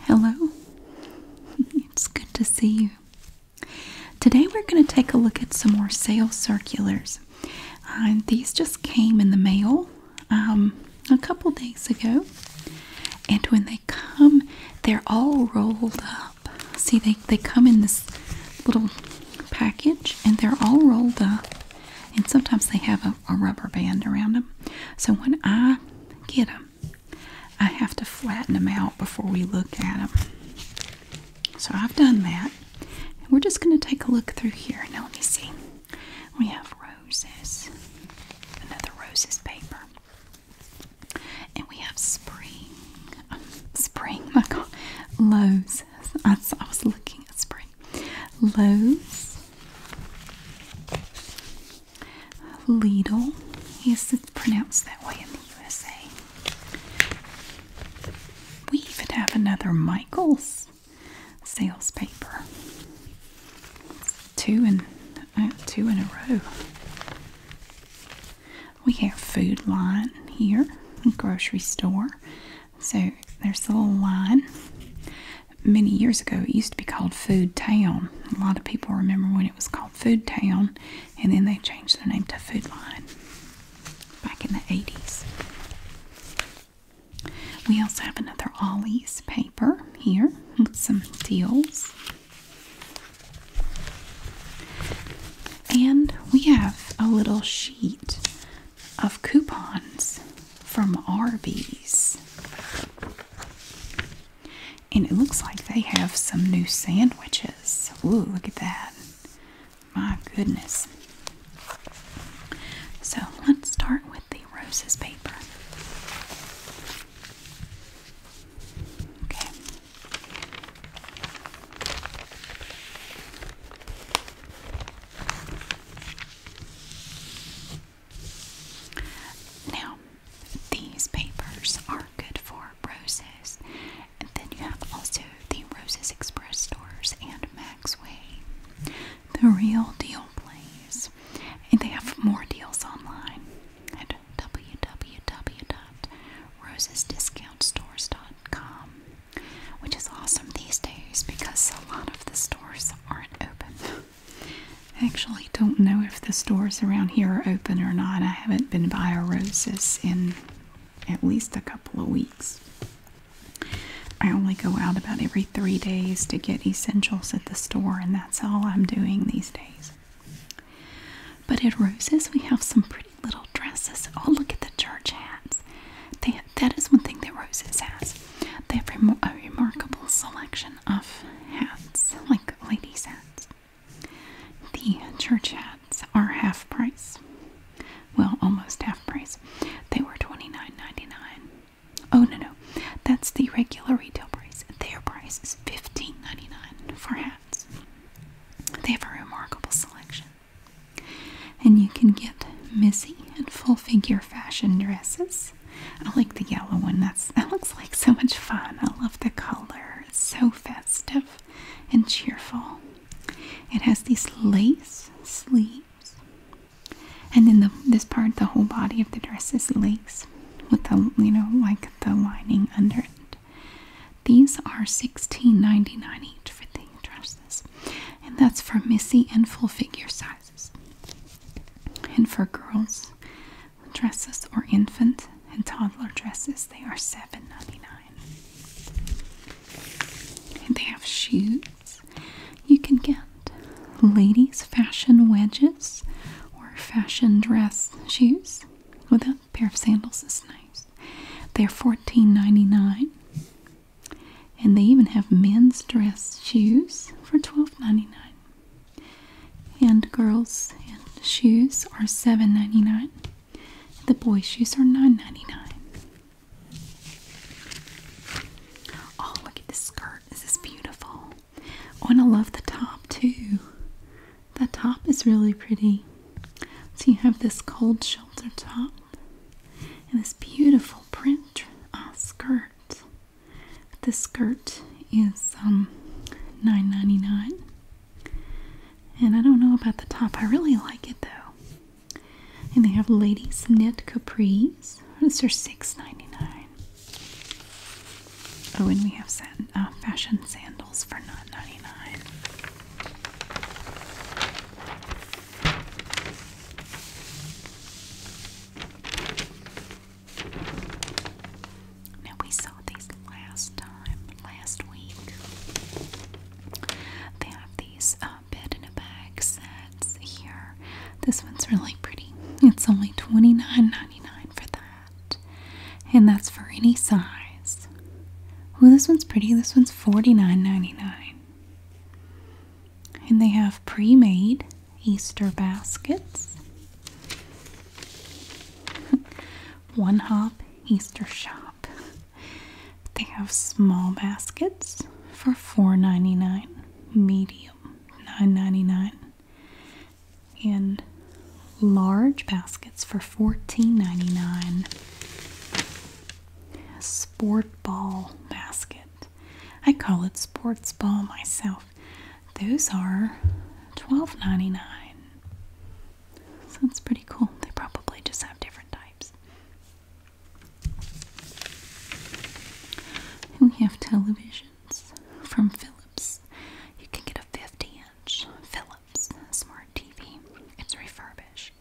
Hello, it's good to see you. Today we're going to take a look at some more sales circulars. these just came in the mail um, a couple days ago, and when they come, they're all rolled up. See, they, they come in this little package and they're all rolled up and sometimes they have a, rubber band around them. So when I get them, I have to flatten them out before we look at them. So I've done that. And we're just going to take a look through here. Now let me see. We have roses, another roses paper. And we have spring. spring, my God. roses. I was looking at spring Lowe's, Lidl. Yes, it's pronounced that way in the USA. We even have another Michaels sales paper. two in uh, two in a row. We have Food Line here, grocery store. So there's the little line. Many years ago, it used to be called Food Town. A lot of people remember when it was called Food Town, and then they changed their name to Food Line back in the 80s. We also have another Ollie's paper here with some deals. And we have a little sheet of coupons from Arby's. And it looks like they have some new sandwiches. Ooh, look at that. My goodness. So let's start with the roses paper. Okay. Now, these papers are good for roses. And then you have also the Roses Express stores and Maxway. The real deal place. And they have more deals online at www.rosesdiscountstores.com, which is awesome these days because a lot of the stores aren't open. I actually don't know if the stores around here are open or not. I haven't been by a Roses in at least a couple of weeks. I only go out about every three days to get essentials at the store, and that's all I'm doing these days. But at Roses, we have some pretty little dresses. Oh, look at the church hats. They, that is one thing that Roses has. They have a remarkable selection of hats, like ladies' hats. The church hats are half price. Well, almost half price. They were twenty nine ninety nine. Oh, no, no. That's the regular retail price. Their price is fifteen ninety nine for hats. They have a remarkable selection. And you can get Missy and full figure fashion dresses. I like the yellow one. That's that looks like so much fun. I love the color. It's so festive and cheerful. It has these lace sleeves. And then the, this part, the whole body of the dress is lace with the you know like the lining under it. These are $16.99 each for the dresses. And that's for Missy and full figure size. And for girls dresses or infant and toddler dresses, they are $7.99. And they have shoes. You can get ladies' fashion wedges or fashion dress shoes. With a pair of sandals is nice. They're $14.99. And they even have men's dress shoes for $12.99. And girls' shoes are $7.99. The boys' shoes are $9.99. Oh, look at this skirt. This is beautiful. Oh, and I love the top too. The top is really pretty. So you have this cold shoulder top and this beautiful print uh, skirt. The skirt is um, $9.99. And I don't know about the top. I really like it though. And they have ladies knit capris. Those are $6.99. Oh, and we have uh, fashion sandals for $9.99. Now, we saw these last time, last week. They have these uh, bed in a bag sets here. This one's really pretty. It's only $29.99 for that. And that's for any size. Oh, this one's pretty. This one's $49.99. And they have pre made Easter baskets, one hop Easter shop. They have small baskets for $4.99, medium $9.99, and large baskets for $14.99. Sport ball basket I call it sports ball myself. Those are $12.99. So it's pretty cool. They probably just have different types. we have televisions from Philips. You can get a 50 inch Philips smart TV. It's refurbished.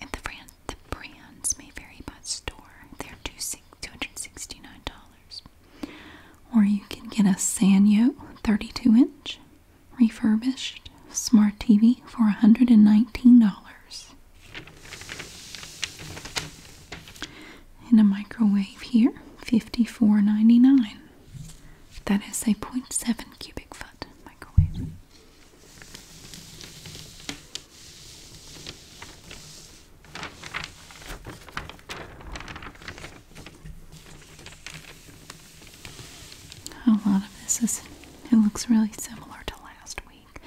And the brand. The brands may vary by store. They're $269. Or you can get a Sanyo 32 inch refurbished smart TV for $119. And a microwave here, fifty four ninety is a 0.7 cubic foot microwave. A lot of this is, it looks really similar to last week.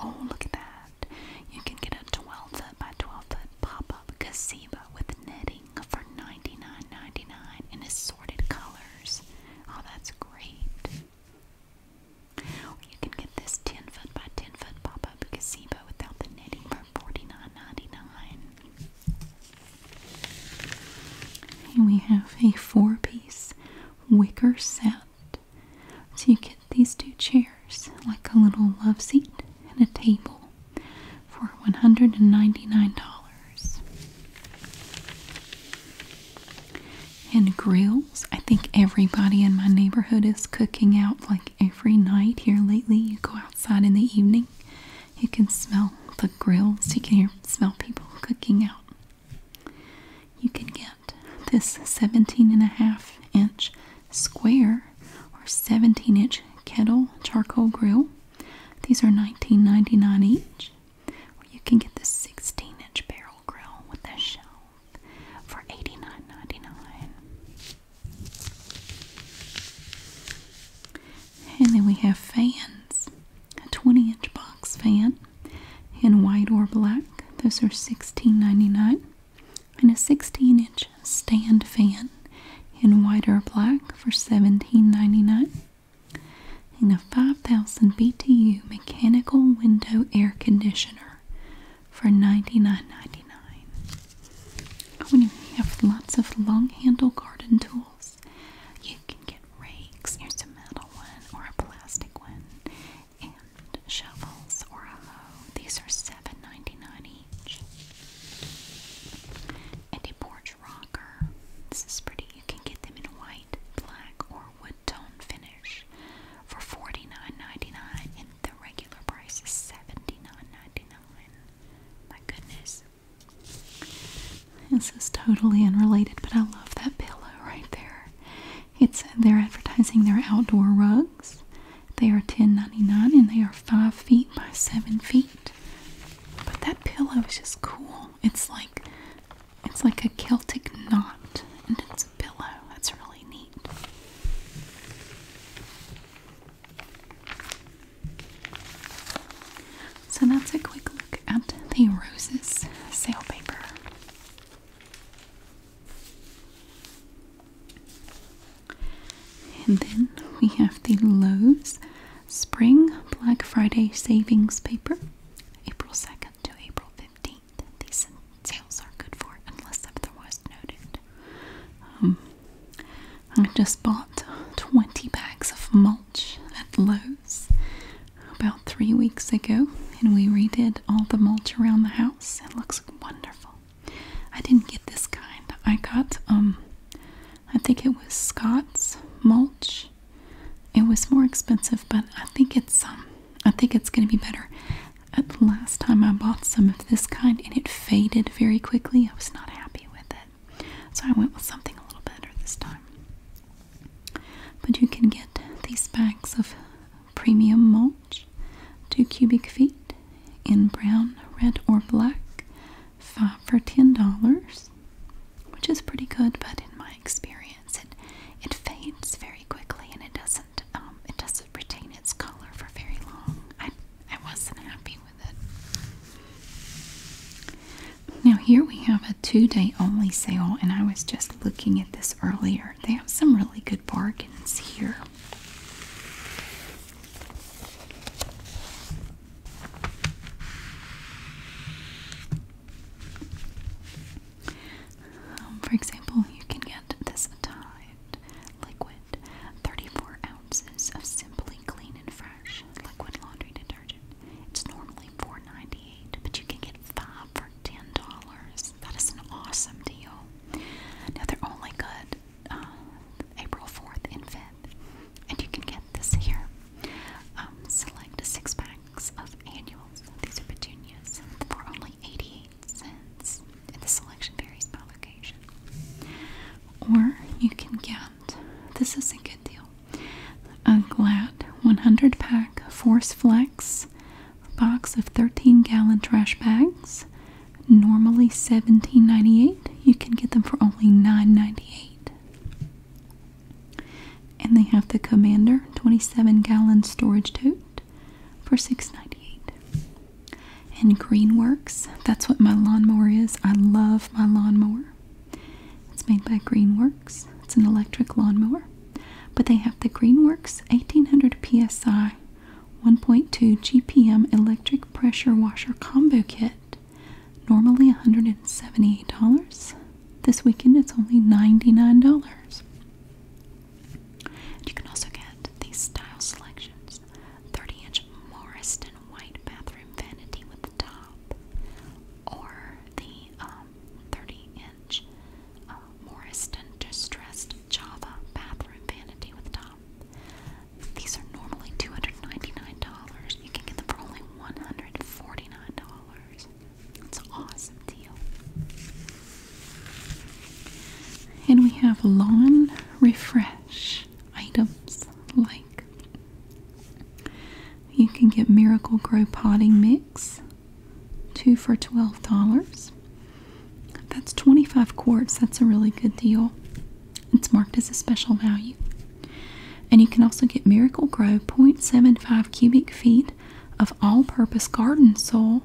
Oh, look at that. You can get a 12 foot by 12 foot pop up gazebo with netting for ninety nine ninety nine dollars in assorted colors. Oh, that's great you can get this 10 foot by 10 foot pop up gazebo without the netting for 49 we have a four piece wicker set. So you get these two chairs, like a little love seat and a table, for $199 and grills. I think everybody in my neighborhood is cooking out like every night here lately. You go outside in the evening, you can smell the grills, you can hear, smell people cooking out. You can get this 17 and a half inch square or 17 inch kettle charcoal grill. These are nineteen ninety nine each. Or you can get the 16 inch barrel Grill with a shelf for 89 And then we have fans. A 20-inch box fan in white or black. Those are sixteen ninety nine, And a 16-inch stand fan in white or black for seventeen ninety nine, And a 5000 BTU mechanical window air conditioner for $99.99. Oh, you have lots of long handle garden tools. You can get rakes. Here's a metal one or a plastic one. And shovels or a hoe. These are $7.99 each. And a porch rocker. This is pretty. You can get them in white, black, or wood tone finish for 49 and the regular price is 79 My goodness. This is totally unrelated, but I love that pillow right there. It's they're advertising their outdoor rugs. They are ten ninety nine, and they are five feet by seven feet. But that pillow is just cool. It's like it's like a Celtic knot and it's a pillow. That's really neat. So that's a quick look at the roses sale paper. And then we have the Lowe's Spring Black Friday Savings Paper, April 2nd to April 15th these sales are good for unless otherwise noted. Um, I just bought 20 bags of mulch at Lowe's about three weeks ago, and we redid all the mulch around the house. It looks wonderful. I didn't get this kind. I got, um, I think it was Scott's mulch. It was more expensive, but I think it's um, I think it's going to be better. At uh, the last time I bought some of this kind and it faded very quickly, I was not happy with it. So I went with something a little better this time. But you can get these bags of premium mulch, 2 cubic feet, in brown, red, or black, 5 for $10, which is pretty good, but in my experience, it, it fades very quickly and it doesn't, um, it doesn't retain its color for very long. I, I wasn't happy with it. Now, here we have a two day only sale, and I was just looking at this earlier. They have some really good bargains here. Um, for example, you can get this timed liquid, 34 ounces of Simply Clean and Fresh liquid laundry detergent. It's normally $4.98, but you can get five for $10. That is an awesome deal. Now they're only good uh, April 4th and 5th, and you can get this here. Um, select six packs of annuals. These are petunias for only 88 cents. And the selection varies by location. Or you can get this is a good deal a Glad 100 pack Force Flex box of 13 gallon trash bags. Normally 17.98, You can get them for only 9.98, And they have the Commander 27 gallon storage tote for $6.98. And Greenworks, that's what my lawnmower is. I love my lawnmower. It's made by Greenworks. It's an electric lawnmower. But they have the Greenworks 1800 PSI 1.2 GPM electric pressure washer combo kit. Normally $178. This weekend it's only $99 you can also get these style selections 30 inch Morriston white bathroom vanity with top, or the um, 30 inch uh, Morriston distressed Java bathroom vanity with top. These are normally $299. You can get them for only $149. It's an awesome deal. And we have lawn refresh items like you can get Miracle Grow potting mix, two for $12. That's 25 quarts. That's a really good deal. It's marked as a special value. And you can also get Miracle Grow 0.75 cubic feet of all purpose garden soil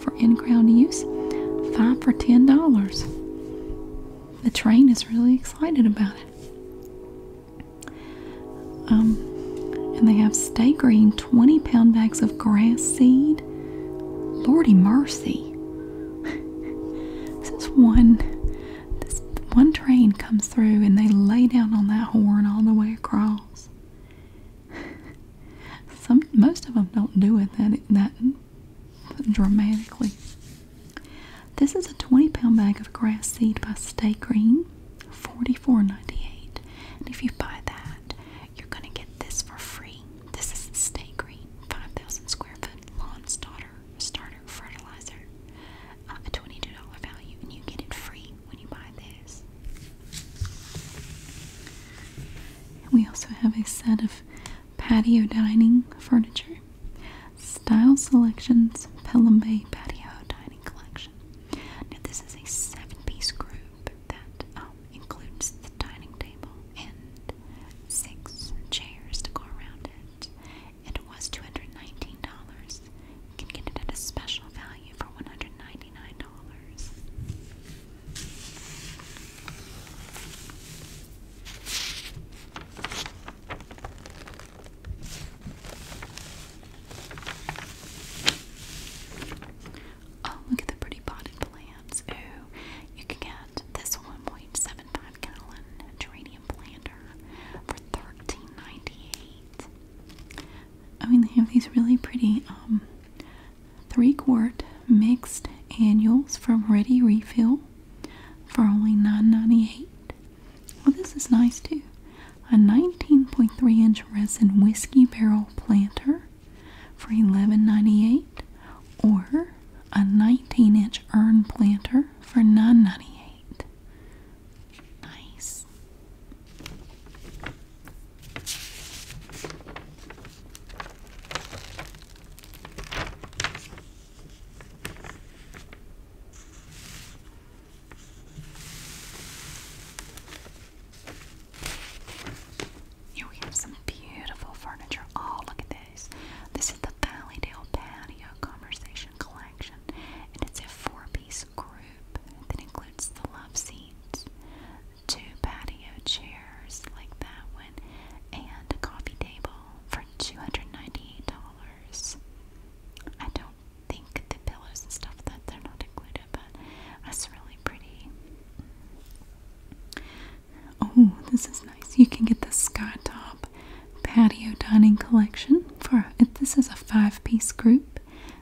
for in ground use, five for ten dollars. The train is really excited about it. Um, and they have stay green 20 pound bags of grass seed. Lordy mercy. This one this one train comes through and they lay down on that horn all the way across. Some most of them don't do it that that dramatically. This is a 20 pound bag of grass seed by Stay Green, 44.98. And if you buy that, you're gonna get this for free. This is Stay Green, 5,000 square foot lawn starter starter fertilizer, uh, a $22 value, and you get it free when you buy this we also have a set of patio dining furniture. Style Selections Pelham Bay Patio Dining Collection. Now this is a seven-piece group that um, includes the dining table and six chairs to go around it. And it was $219. You can get it at a special value for $199. Oh, look at the pretty potted plants. Ooh, you can get this 1.75 gallon geranium planter for 13 I mean, they have these really pretty um, three quart mixed annuals from Ready Refill for only $9.98. Well, this is nice too. A 19.3 inch resin whiskey barrel planter for $11.98 or a 19 inch urn planter for $9.98. Nice. Here we have some beautiful furniture. Oh, look at this. This is the Valleydale Patio Conversation Collection, and it's a four piece group that includes the love seats, two patio chairs like that one, and a coffee table for $298. I don't think the pillows and stuff that they're not included, but that's really pretty. Oh, this is nice. You can get the Skytop Patio Dining Collection for this is a five-piece group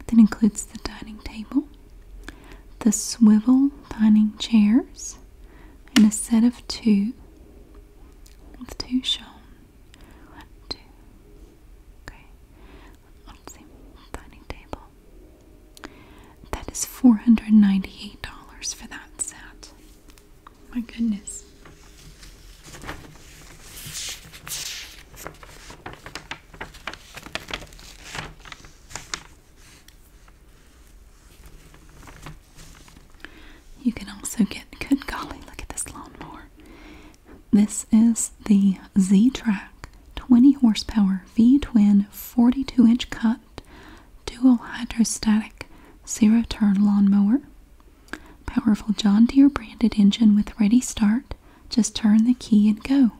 that includes the dining table, the swivel dining chairs, and a set of two with two shown. One, two. Okay. Let's see. Dining table. That is $498 for that set. My goodness. You can also get, good golly, look at this lawnmower. This is the Z Track 20 horsepower V twin 42 inch cut dual hydrostatic zero turn lawnmower. Powerful John Deere branded engine with ready start. Just turn the key and go.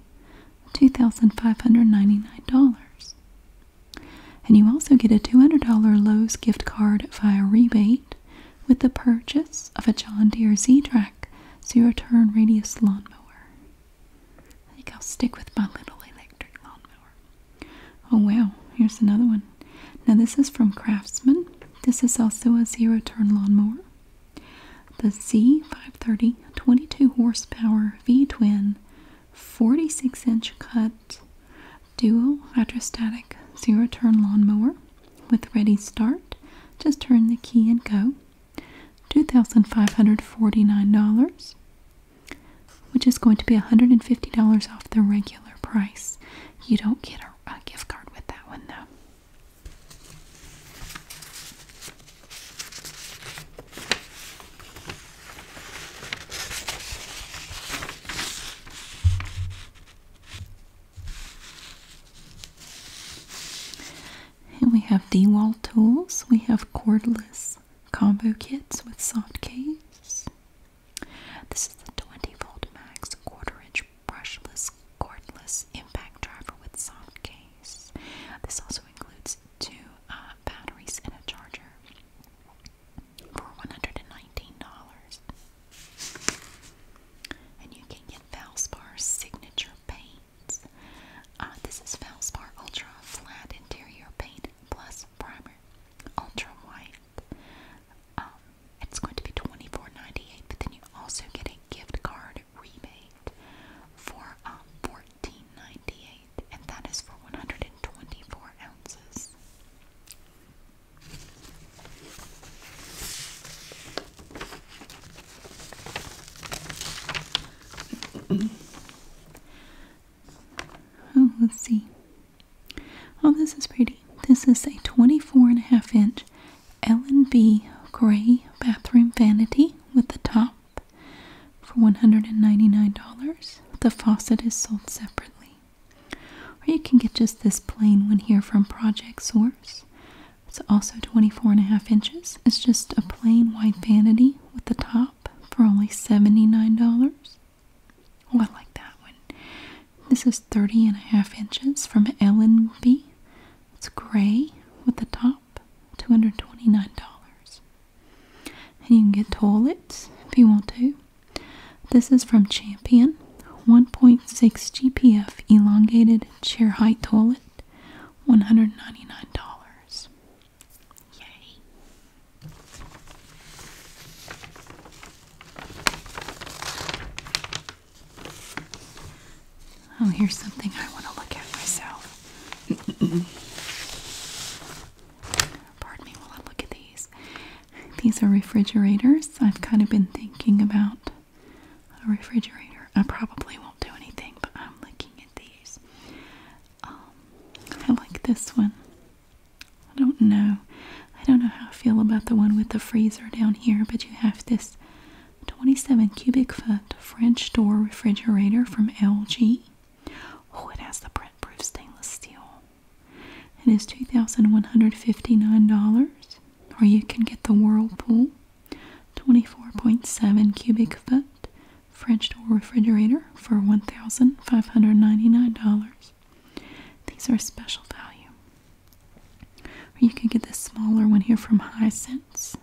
$2,599. And you also get a $200 Lowe's gift card via rebate with the purchase of a John Deere Z-Track zero turn radius lawnmower. I think I'll stick with my little electric lawnmower. Oh wow, here's another one. Now this is from Craftsman. This is also a zero turn lawnmower. The Z530 22 horsepower V twin 46 inch cut dual hydrostatic zero turn lawnmower with ready start. Just turn the key and go. $2,549, which is going to be $150 off the regular price. You don't get a gift card with that one though we have D-wall tools. We have cordless combo kits with soft caves. This is the 20 volt max quarter inch brushless cordless impact driver with soft case. This also includes two uh, batteries and a charger for $119. And you can get Valspar Signature Paints. Uh, this is Valspar Ultra Flat Interior Paint Plus Primer Ultra White. Um, it's going to be 24 but then you also get a gift card card rebate for um, and that is for 124 ounces. oh, let's see. Oh, this is pretty. This is a 24 and a half inch L&B gray bathroom vanity with the top for $199, the faucet is sold separately. Or you can get just this plain one here from Project Source. It's also 24 and a half inches. It's just a plain white vanity with the top for only $79. Oh, I like that one. This is 30 and a half inches from Ellen B. It's gray with the top $229. And you can get toilets if you want to. This is from Champion 1.6 GPF elongated chair height toilet, $199. Yay. Oh, here's something I want to look at myself. Pardon me while I look at these. These are refrigerators. I've kind of been thinking about a refrigerator. I probably won't do anything, but I'm looking at these. Um, I like this one. I don't know. I don't know how I feel about the one with the freezer down here, but you have this 27 cubic foot French door refrigerator from LG. Oh, it has the print proof stainless steel. It is $2,159. Or you can get the Whirlpool 24.7 cubic foot French door refrigerator for $1,599. These are special value. Or you can get this smaller one here from Hisense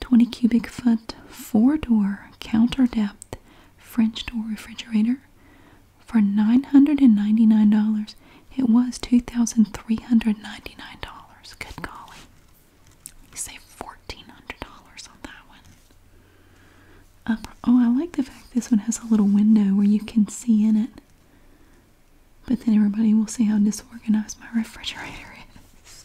20 cubic foot, four door, counter depth, French door refrigerator for $999. It was $2,399. Good golly. You saved $1,400 on that one. oh, I like the fact this one has a little window where you can see in it. But then everybody will see how disorganized my refrigerator is.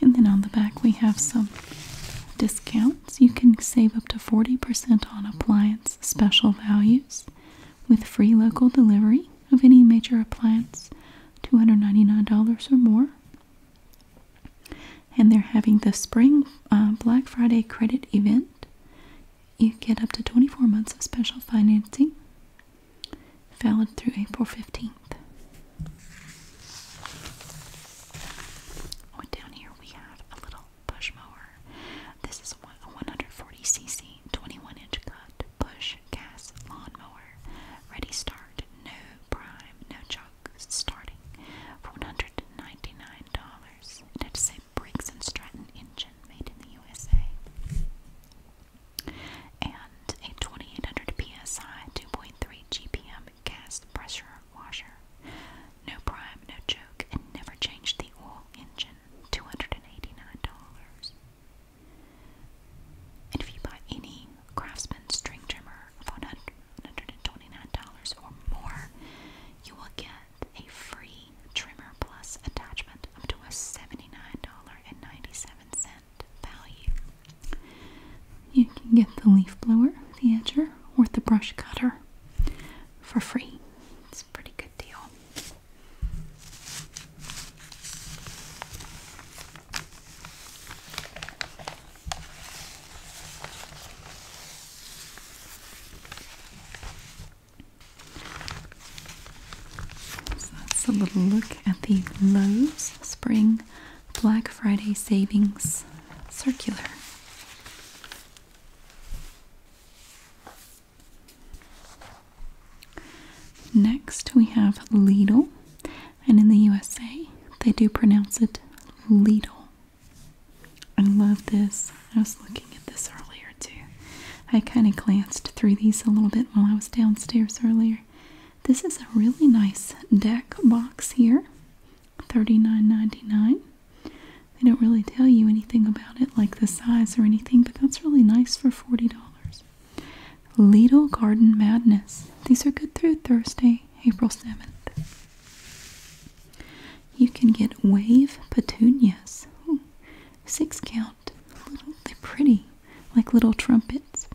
And then on the back, we have some discounts. You can save up to 40% on appliance special values with free local delivery of any major appliance, $299 or more. And they're having the spring uh, Black Friday credit event. You get up to 24 months of special financing, valid through April 15th. Oh, down here we have a little push mower. This is a 140cc, 21 inch cut push gas lawnmower. Ready start, no prime, no joke, starting for $199. It had to say Briggs & Stratton engine made in the USA. And a 2800 PSI 2.3 GPM gas pressure washer. No prime, no joke, and never changed the oil engine. $289. And if you buy any Craftsman string trimmer for $129 or more, you will get a free trimmer plus attachment up to a $79.97 value. You can get the leaf blower, the edger, or the brush cutter for free. It's a pretty good deal. So that's a little look at the Lowe's Spring Black Friday Savings Circular. Next, we have Lidl, and in the USA they do pronounce it Lidl. I love this. I was looking at this earlier too. I kind of glanced through these a little bit while I was downstairs earlier. This is a really nice deck box here. $39.99. They don't really tell you anything about it like the size or anything, but that's really nice for $40. Lidl Garden Madness. These are good through Thursday, April 7th. You can get wave petunias. six count. they're pretty, like little trumpets.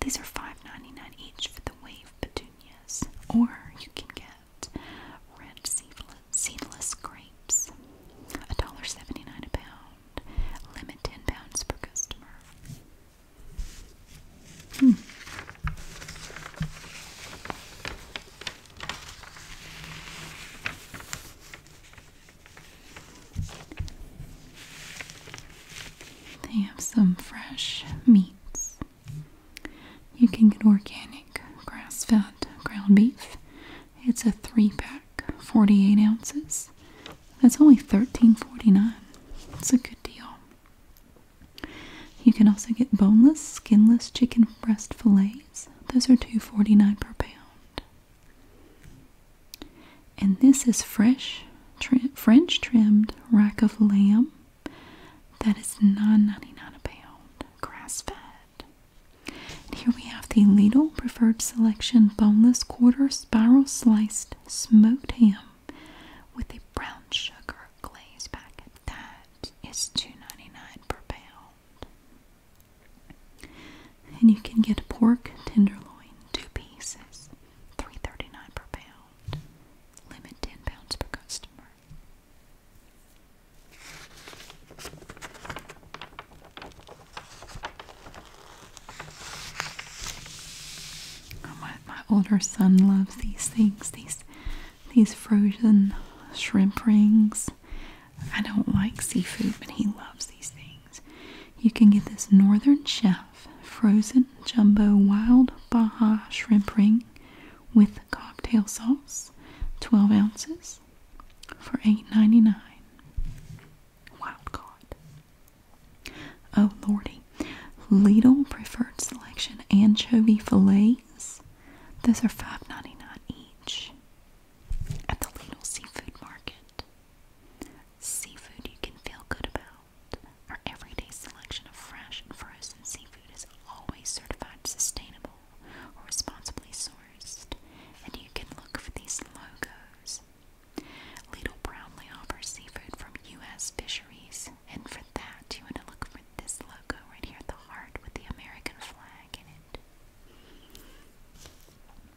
These are $5.99 each for the wave petunias. Or you can get red seedless, seedless grapes. $1.79 a pound. Limit 10 pounds per customer. Hmm. They have some fresh meats. You can get organic grass fed ground beef. It's a three pack, 48 ounces. That's only $13.49. It's a good deal. You can also get boneless, skinless chicken breast fillets. Those are $2.49 per pound. And this is fresh French trimmed rack of lamb. That is $9.99 a pound, grass fed. here we have the Lidl Preferred Selection Boneless Quarter Spiral Sliced Smoked Ham with a brown sugar glaze packet. That per pound. And you can get pork tenderloin, two pieces, 3 per pound. Limit 10 pounds per customer my, older son loves these things, these these frozen shrimp rings. I don't like seafood, but he loves these things. You can get this Northern Chef frozen jumbo wild Baja shrimp ring with cocktail sauce, 12 ounces for eight ninety nine. Wild caught. Oh, lordy. Lidl preferred selection anchovy fillets. Those are $5.99 each at the Lidl Seafood Market. Seafood you can feel good about. Our everyday selection of fresh and frozen seafood is always certified sustainable or responsibly sourced, and you can look for these logos Little Brownlee offers seafood from U.S. fisheries, and for that, you want to look for this logo right here, the heart with the American flag in it.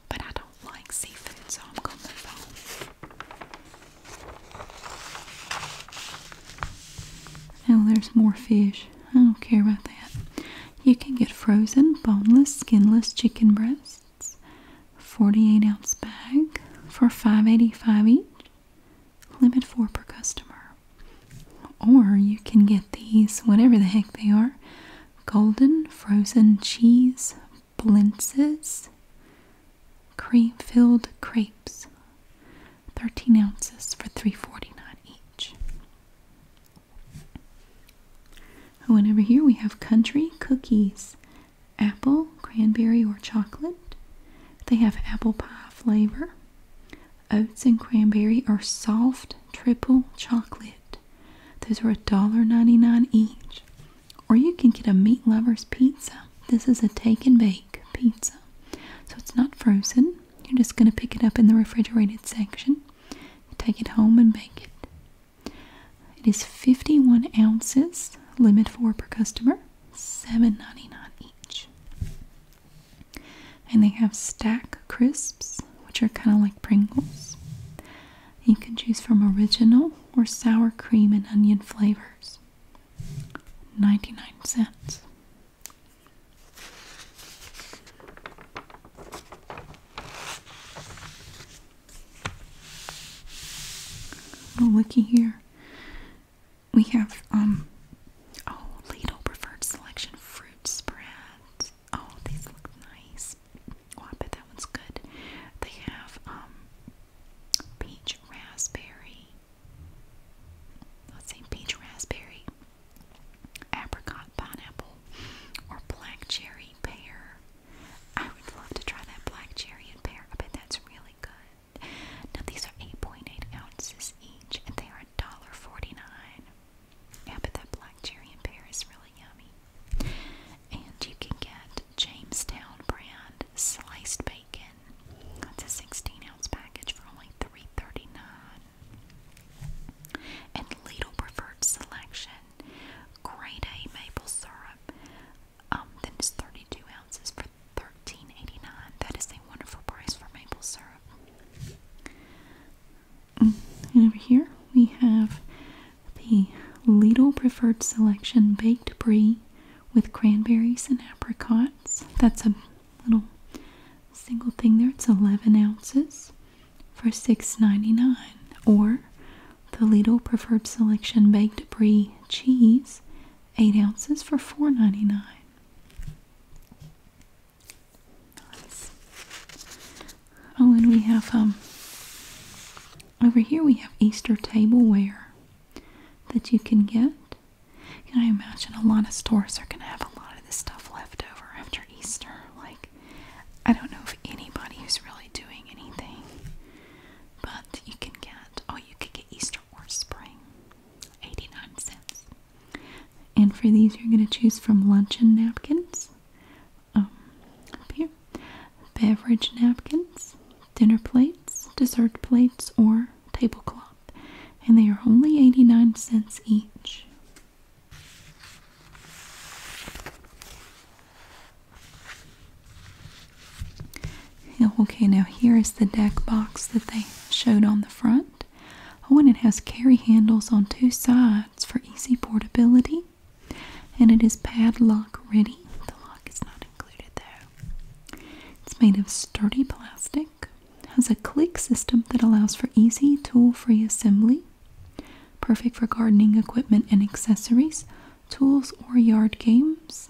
But I don't like seafood, so I'm gonna move on. Oh, there's more fish. I don't care about that. You can get frozen, boneless, skinless chicken breasts. 48 ounce bag for $5.85 each. Limit four per customer. Or you can get these, whatever the heck they are, golden frozen cheese blintzes, cream filled crepes. 13 ounces for $3.49 each. and over here we have country cookies apple, cranberry, or chocolate. They have apple pie flavor. Oats and cranberry are soft triple chocolate. Those are ninety-nine each. Or you can get a meat lover's pizza. This is a take and bake pizza. So it's not frozen. You're just going to pick it up in the refrigerated section. take it home and bake it. It is 51 ounces, limit four per customer, $7.99 each. And they have stack crisps, which are kind of like Pringles. You can choose from original or sour cream and onion flavors. 99 cents. Oh, looky here. We have, um, oh, Lidl Preferred Selection Fruit Spread. Oh, these look nice. Oh, I bet that one's good. They have, um, peach raspberry. Let's see, peach raspberry, apricot pineapple, or black cherry pear. I would love to try that black cherry and pear. I bet that's really good. Now these are 8.8 ounces each, and they are $1.49. Yeah, but that black cherry and pear is really yummy. And you can get Jamestown brand sliced bacon. That's a 16 ounce package for only $3.39. And Little preferred selection. Grade A maple syrup. Um, then it's 32 ounces for 13 is a wonderful price for maple syrup. Mm, and over here we have the Lidl Preferred Selection Baked Brie with cranberries and apricots. That's a little single thing there. It's 11 ounces for $6.99 or the Lidl Preferred Selection Baked Brie Cheese, 8 ounces for $4.99. Oh, and we have, um, over here we have Easter tableware that you can get. Can I imagine a lot of stores are going to have a lot of this stuff left over after Easter? Like, I don't know if anybody is really doing anything but you can get, oh, you could get Easter or spring, 89 cents. And for these, you're going to choose from luncheon napkins, um, here, beverage napkins, dinner plates, dessert plates, or tablecloth. And they are only 89 cents each. Okay, now here is the deck box that they showed on the front. Oh, and it has carry handles on two sides for easy portability. And it is padlock ready. The lock is not included though. It's made of sturdy plastic. Has a click system that allows for easy tool-free assembly. Perfect for gardening equipment and accessories, tools, or yard games.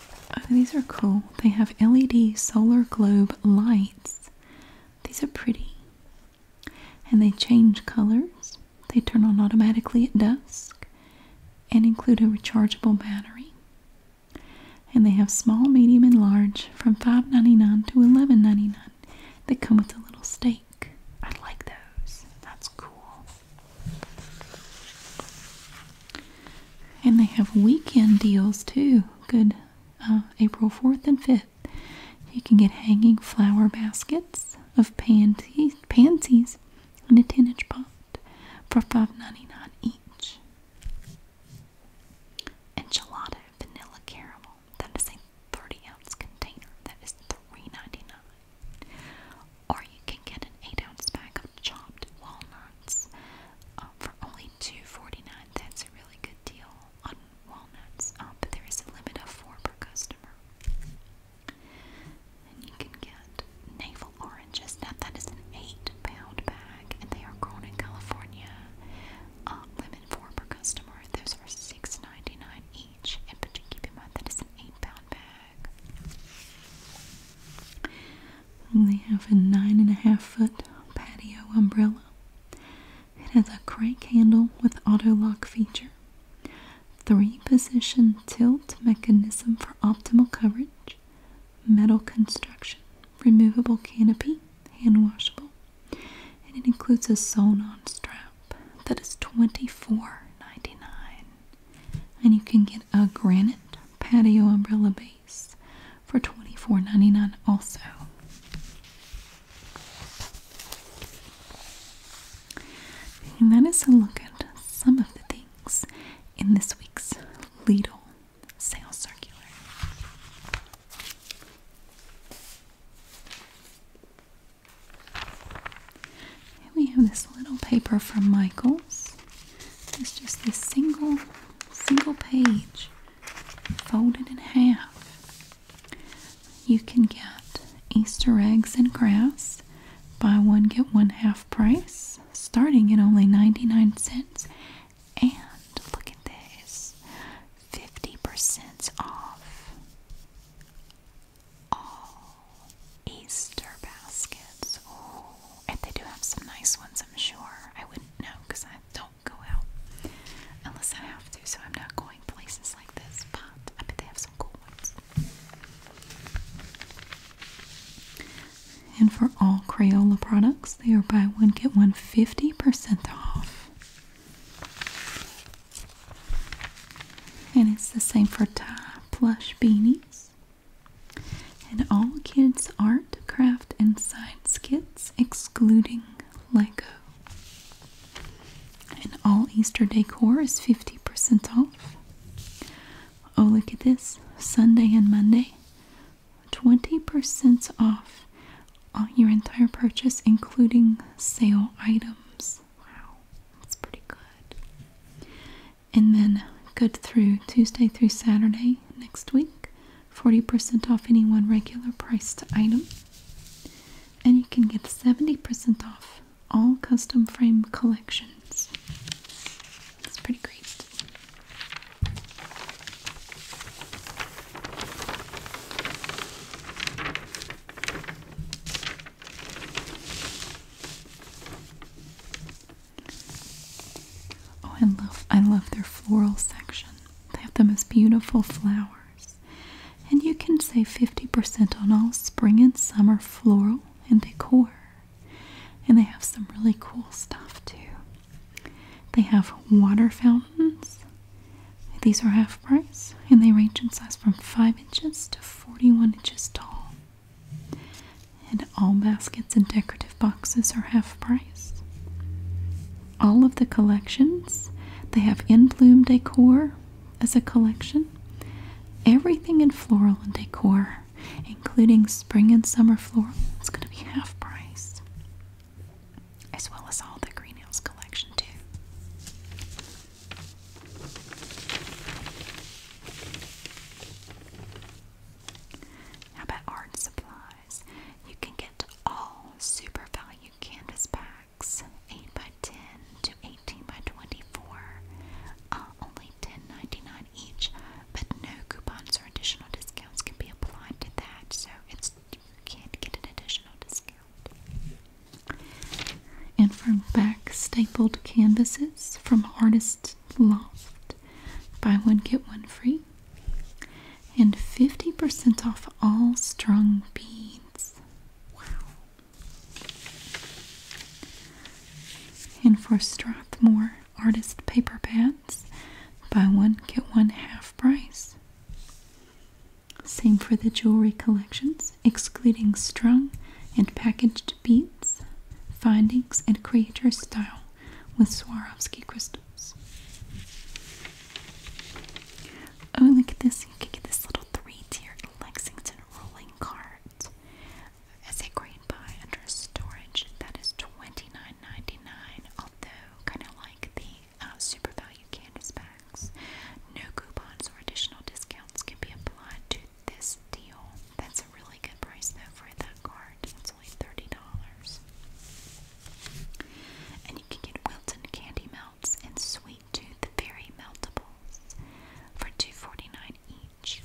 Oh, these are cool. They have LED solar globe lights. These are pretty. And they change colors. They turn on automatically at dusk and include a rechargeable battery. And they have small, medium, and large from five ninety nine to eleven ninety nine. They come with a little stake. I like those. That's cool. And they have weekend deals too. Good uh, April 4th and 5th. You can get hanging flower baskets of pansies, in a 10 inch pot for $5.99 each. Enchilada vanilla caramel. That is a 30 ounce container. That is $3.99. Or you can get an 8 ounce bag chopped walnuts um, for only $2.49. That's a really good deal on walnuts, um, but there is a limit of four per customer. And you can get navel oranges. Now that is an eight-pound bag, and they are grown in California. Uh, limit four per customer. Those are $6.99 each. And but you keep in mind that is an eight-pound bag they have a nine and a half foot patio umbrella. It has a crank handle with auto lock feature, three position tilt mechanism for optimal coverage, metal construction, removable canopy, hand washable, and it includes a sewn on strap that is $24.99. And you can get a granite patio umbrella base for $24.99 also. And that is a look at some of the things in this week's Lidl sales circular. we have this little paper from Michaels. It's just this single, single page folded in half. You can get Easter eggs and grass, buy one, get one half price, starting at only 99 cents. And look at this 50% off all Easter baskets. And they do have some nice ones, I'm sure. I wouldn't know because I don't go out unless I have to, so I'm not going places like this. But I bet they have some cool ones. And for all Crayola products, they are buy one, get one 50% off. And it's the same for tie plush beanies. And all kids' art, craft, and side kits, excluding Lego. And all Easter decor is 50% off. Oh, look at this Sunday and Monday. 20% off on your entire purchase, including sale items. Wow, that's pretty good. And then good through Tuesday through Saturday next week 40% off any one regular priced item. And you can get 70% off all custom frame collections. It's pretty great. Oh, I love I love their floral section. They have the most beautiful flowers. And you can save 50% on all spring and summer floral and decor. And they have some really cool stuff too. They have water fountains. These are half price and they range in size from 5 inches to 41 inches tall and all baskets and decorative boxes are half price. All of the collections, they have in bloom decor as a collection. Everything in floral and decor, including spring and summer floral, is going to be half price, as well as all the Green Hills collection, too. How about art supplies? you can get all super value canvas bags 8 by 10 to 18 by 24 uh, only ten ninety-nine each, but no coupons or additional discounts can be applied to that, so it's you can't get an additional discount. And for back stapled canvases from Artist Loft. Buy one, get one free. And 50% off all strung beads. Wow. And for Strathmore Artist Paper Pads, buy one, get one half price. Same for the jewelry collections, excluding strung and packaged beads, findings, and creator style with Swarovski crystals. Oh, look at this. You can get this little three-tier Lexington rolling cart as a great buy under storage. That is $29.99, although kind of like the uh, super value canvas bags. No coupons or additional discounts can be applied to this deal. That's a really good price though for that card. And you can get Wilton candy melts and sweet tooth fairy meltables for two forty-nine each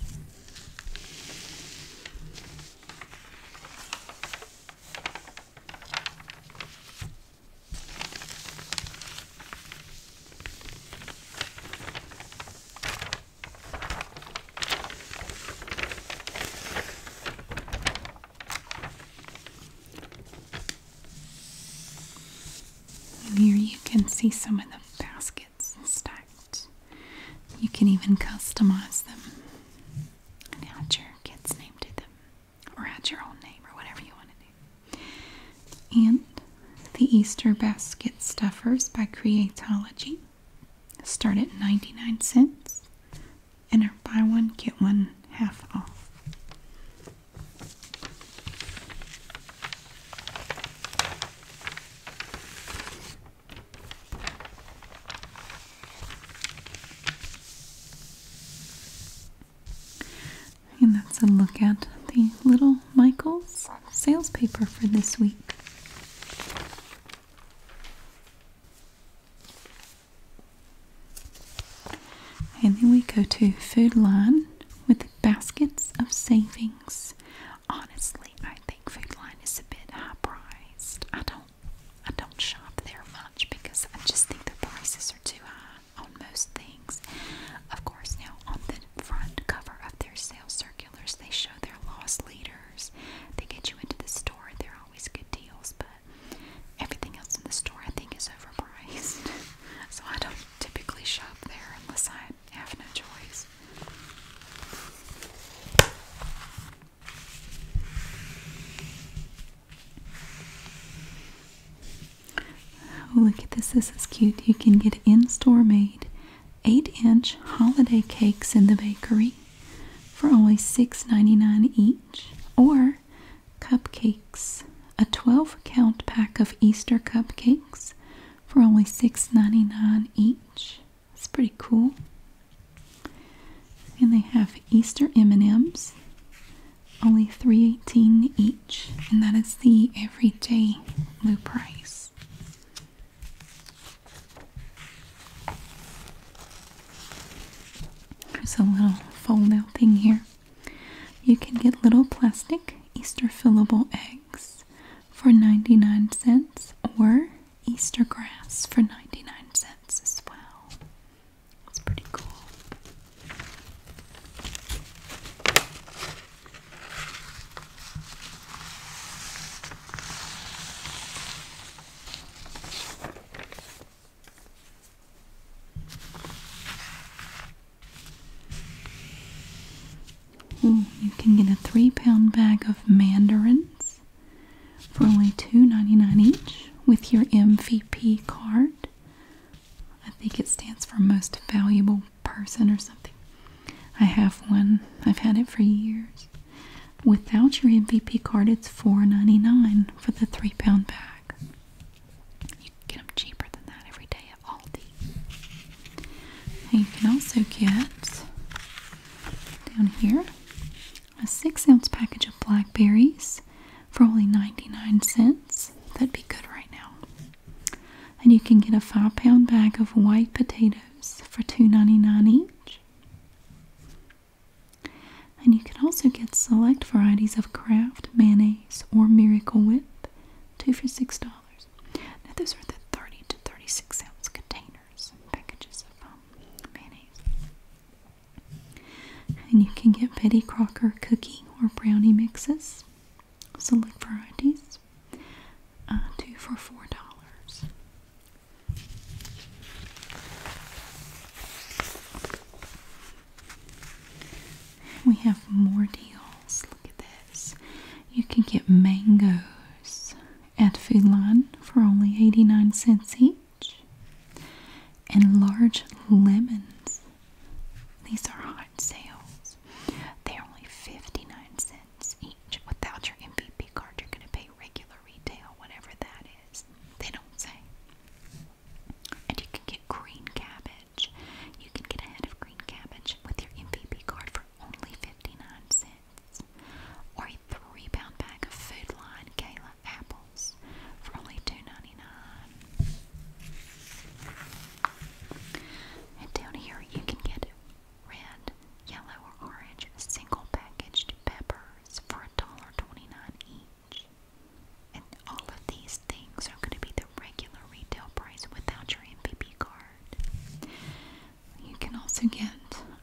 here you can see some of the baskets stacked. You can even customize them and add your kid's name to them, or add your own name, or whatever you want to do. And the Easter basket stuffers by Creatology start at 99 cents. Enter, her buy one get one half off. And that's a look at the Little Michaels sales paper for this week. And then we go to Food Line with baskets of savings. Honestly, I think Food Line is a bit high priced. I don't I don't shop there much because I just think the prices are too high on most things. Of course, now on the front cover of their sales circulars, they show their lost leaders. They get you into the store, they're always good deals, but everything else in the store I think is overpriced. so I don't typically shop there unless I have no choice. Oh, look at this. This is cute. You can get in store made 8 inch holiday cakes in the bakery for only $6.99 each, or cupcakes, a 12 count pack of Easter cupcakes for only $6.99 each. It's pretty cool. And they have Easter M&Ms, only $3.18 each, and that is the everyday low price. There's a little fold out thing here. You can get little plastic Easter fillable eggs for 99 cents or Easter grass for 99 cents as well. It's pretty cool. Hmm, you can get a three pound bag of mandarins for only $2.99 each with your MVP card. I think it stands for most valuable person or something. I have one, I've had it for years. Without your MVP card, it's $4.99 for the three pound bag. You can get them cheaper than that every day at Aldi. Now you can also get down here a six ounce package of blackberries for only 99 cents. That'd be good right now. And you can get a five pound bag of white potatoes for $2.99 each. And you can also get select varieties of Kraft mayonnaise or Miracle Whip, two for six dollars. those are the thirty to thirty-six ounce containers and packages of um, mayonnaise. And you can get Betty Crocker cookie or brownie mixes, select varieties, uh, two for four dollars. We have more deals. Look at this. You can get mangoes at Food Line for only 89 cents each. And large lemons. These are hot sales. They're only 59 cents each. Without your MVP card, you're going to pay regular retail, whatever that is. They don't say. And you can get green cabbage. You can get a head of green cabbage with your MVP card for only 59 cents. Or a three pound bag of Food Line Gala apples for only 2 And down here you can get red, yellow, or orange single packaged pepper for jars for twenty-nine each. And all of these things are going to be the regular retail price without your MPP card. You can also get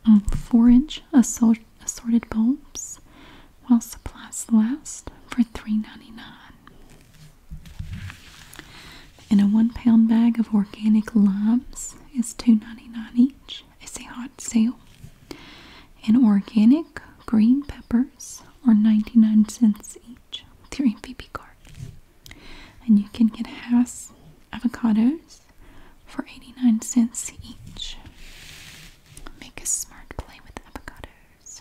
4-inch um, assorted bulbs while supplies last for three ninety-nine. And a one pound bag of organic limes is two ninety-nine each. Ranch is a hot sale, and organic green peppers are 99 cents each with your MVP card. And you can get Hass avocados for 89 cents each. Make a smart play with avocados.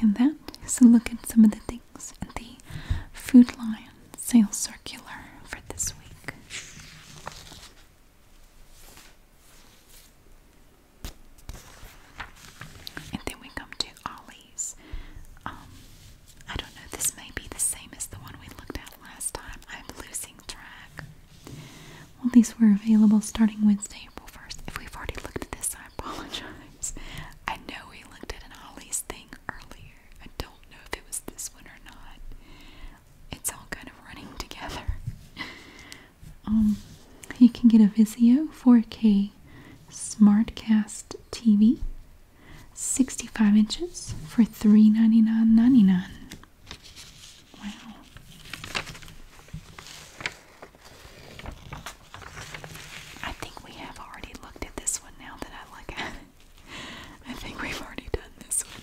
And that is a look at some of the things the Food Lion sales circular for this week. And then we come to Ollie's. Um, I don't know, this may be the same as the one we looked at last time. I'm losing track. Well, these were available starting Wednesday, April 1st. If we've already looked at this, I I apologize. I know we looked at an Ollie's thing earlier. I don't know if it was this one or not. It's all kind of running together. um, you can get a Vizio 4K Smartcast TV, 65 inches for $399.99. Wow. I think we have already looked at this one now that I look at it. I think we've already done this one.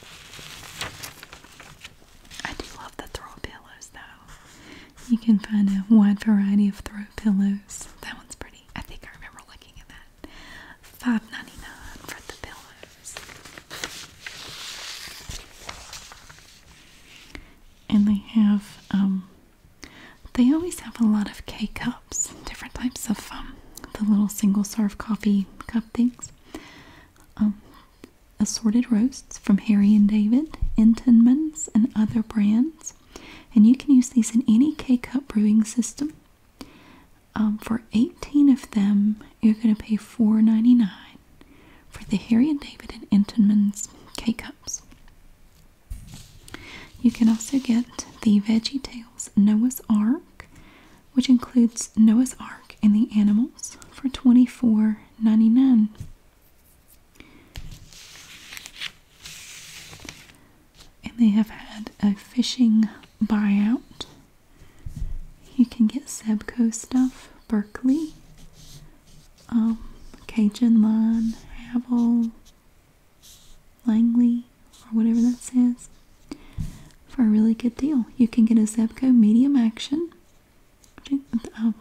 I do love the throw pillows though. You can find a wide variety of throw pillows. That one's pretty. I think I remember looking at that. 5 for the pillows. And they have um they always have a lot of K cups, different types of um, the little single serve coffee cup things. Um, assorted roasts from Harry and David, Entenmann's, and other brands. And you can use these in any K cup brewing system. Um, for 18 of them, you're going to pay $4.99 for the Harry and David and Entenmann's K cups. You can also get the Veggie Tales Noah's Ark, which includes Noah's Ark and the animals for twenty four ninety nine. And they have had a fishing buyout. You can get Sebco stuff, Berkeley, um, Cajun Line, Havel, Langley or whatever that says for a really good deal. You can get a Zebco medium action. Uh,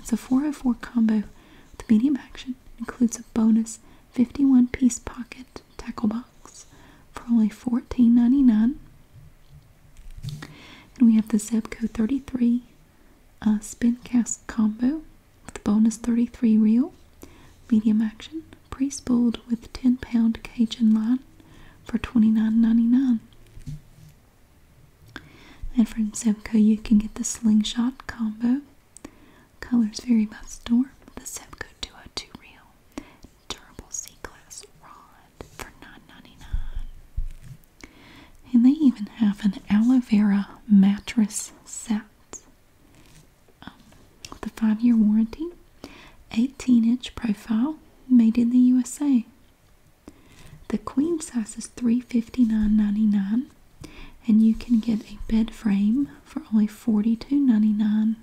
it's a 404 combo with medium action. includes a bonus 51 piece pocket tackle box for only $14.99. And we have the Zebco 33 a spin cast combo with bonus 33 reel, medium action, pre-spooled with 10 pound Cajun line for $29.99. And from Sebco you can get the slingshot combo. Colors vary by store. The Sebco two reel durable C-class rod for 9 And they even have an aloe vera mattress set um, with a five-year warranty, 18-inch profile, made in the USA. The queen size is $359.99, and you can get a bed frame for only $42.99.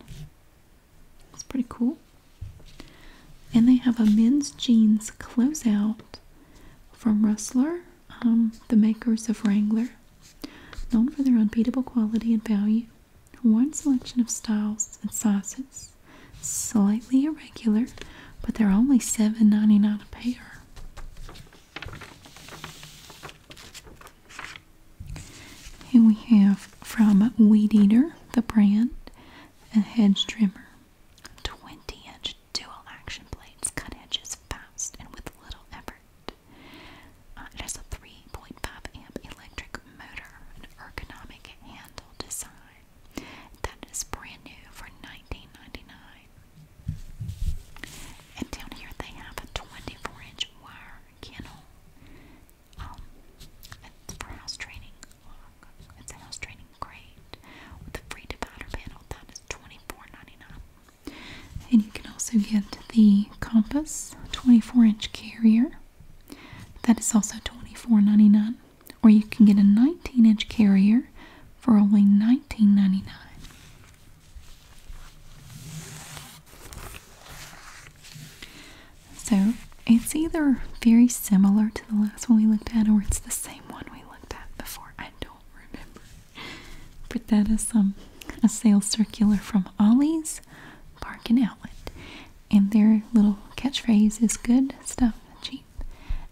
It's pretty cool. And they have a men's jeans closeout from Rustler um, the makers of Wrangler, known for their unbeatable quality and value. A wide selection of styles and sizes, slightly irregular, but they're only $7.99 a pair. And we have from Weed Eater, the brand, a hedge trimmer, 20 inch dual-action blades cut edges fast and with little effort. Uh, it has a 3.5 amp electric motor, an ergonomic handle design that is brand new for 19 And down here they have a 24-inch wire kennel. Um, it's for house training. It's a house training crate with a free divider panel that and you can also get the Compass 24 inch carrier. That is also $24.99. Or you can get a 19 inch carrier for only $19.99. So it's either very similar to the last one we looked at or it's the same one we looked at before. I don't remember but that is um, a sales circular from Ollie's Park and Outlet. And their little catchphrase is good stuff cheap.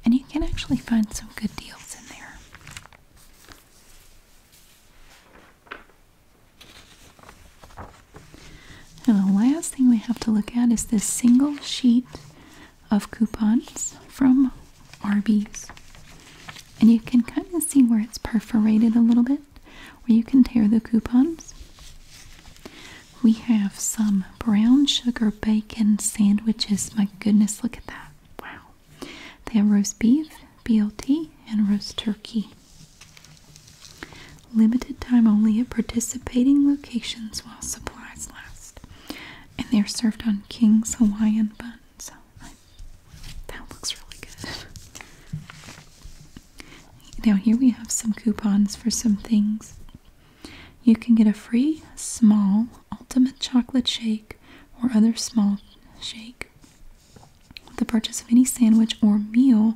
And you can actually find some good deals in there. And the last thing we have to look at is this single sheet of coupons from Arby's. And you can kind of see where it's perforated a little bit, where you can tear the coupons. We have some brown sugar bacon sandwiches. My goodness, look at that. Wow. They have roast beef, BLT, and roast turkey. Limited time only at participating locations while supplies last. And they're served on King's Hawaiian buns that looks really good. Now, here we have some coupons for some things. You can get a free small ultimate chocolate shake or other small shake with the purchase of any sandwich or meal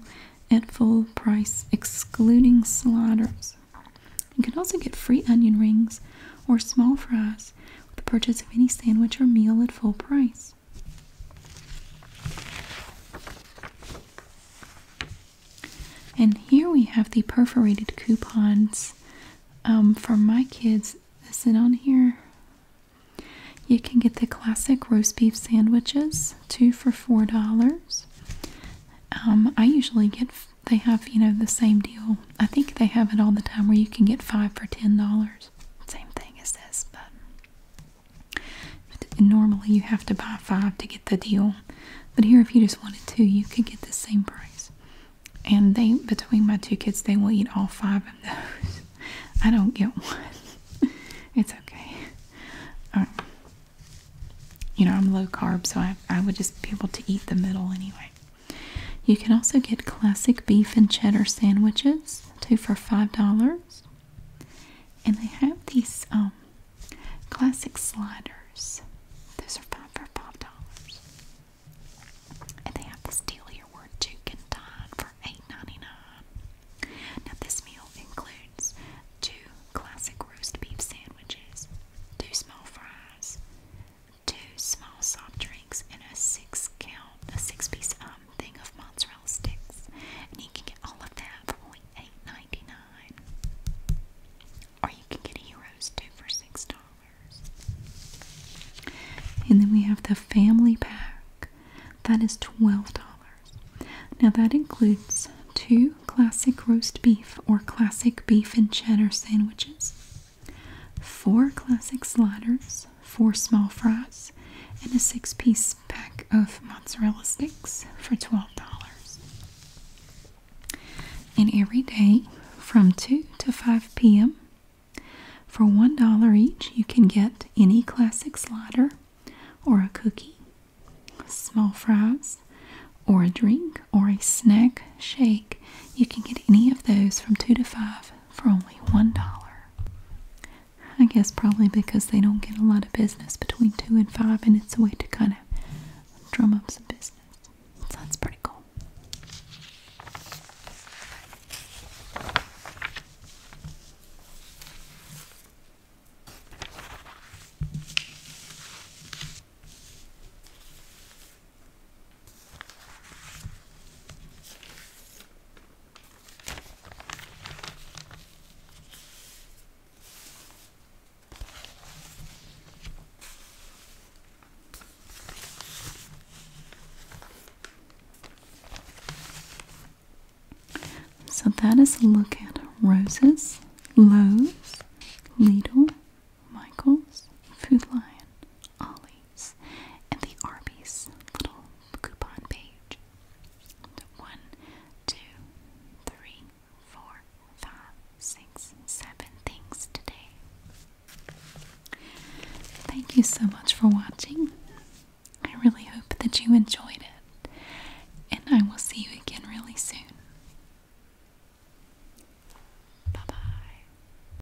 at full price, excluding sliders. You can also get free onion rings or small fries with the purchase of any sandwich or meal at full price. And here we have the perforated coupons um, for my kids. Is it on here? You can get the classic roast beef sandwiches, two for four dollars. Um, I usually get, they have, you know, the same deal I think they have it all the time where you can get five for ten dollars. Same thing as this, but, normally you have to buy five to get the deal. But here, if you just wanted two, you could get the same price. And they, between my two kids, they will eat all five of those. I don't get one. it's okay. Um, you know, I'm low carb, so I would just be able to eat the middle anyway. You can also get classic beef and cheddar sandwiches, two for $5. And they have these um, classic sliders. Those are five for five dollars. And they have this deal here where two dine for 8 Now this meal includes two classic roast beef sandwiches, two small fries, two small soft drinks, and a six count, a six piece um, thing of mozzarella sticks. And you can get all of that for only Or you can get a Heroes 2 for $6. And then we have the family pack. That is $12. Now that includes two classic roast beef or classic beef and cheddar sandwiches, four classic sliders, four small fries, and a six piece pack of mozzarella sticks for $12. And every day from 2 to 5 p.m., for $1 each, you can get any classic slider or a cookie, small fries, or a drink or a snack shake. You can get any of those from 2 to 5 for only $1. I guess probably because they don't get a lot of business between 2 and 5 and it's a way to kind of drum up some business. So pretty cool. So that is a look at Roses, Lowe's, Lidl, Michaels, Food Lion, Ollie's, and the Arby's little coupon page. One, two, three, four, five, six, seven things today. Thank you so much for watching. I really hope that you enjoyed it, and I will see you again really soon. Bye bye.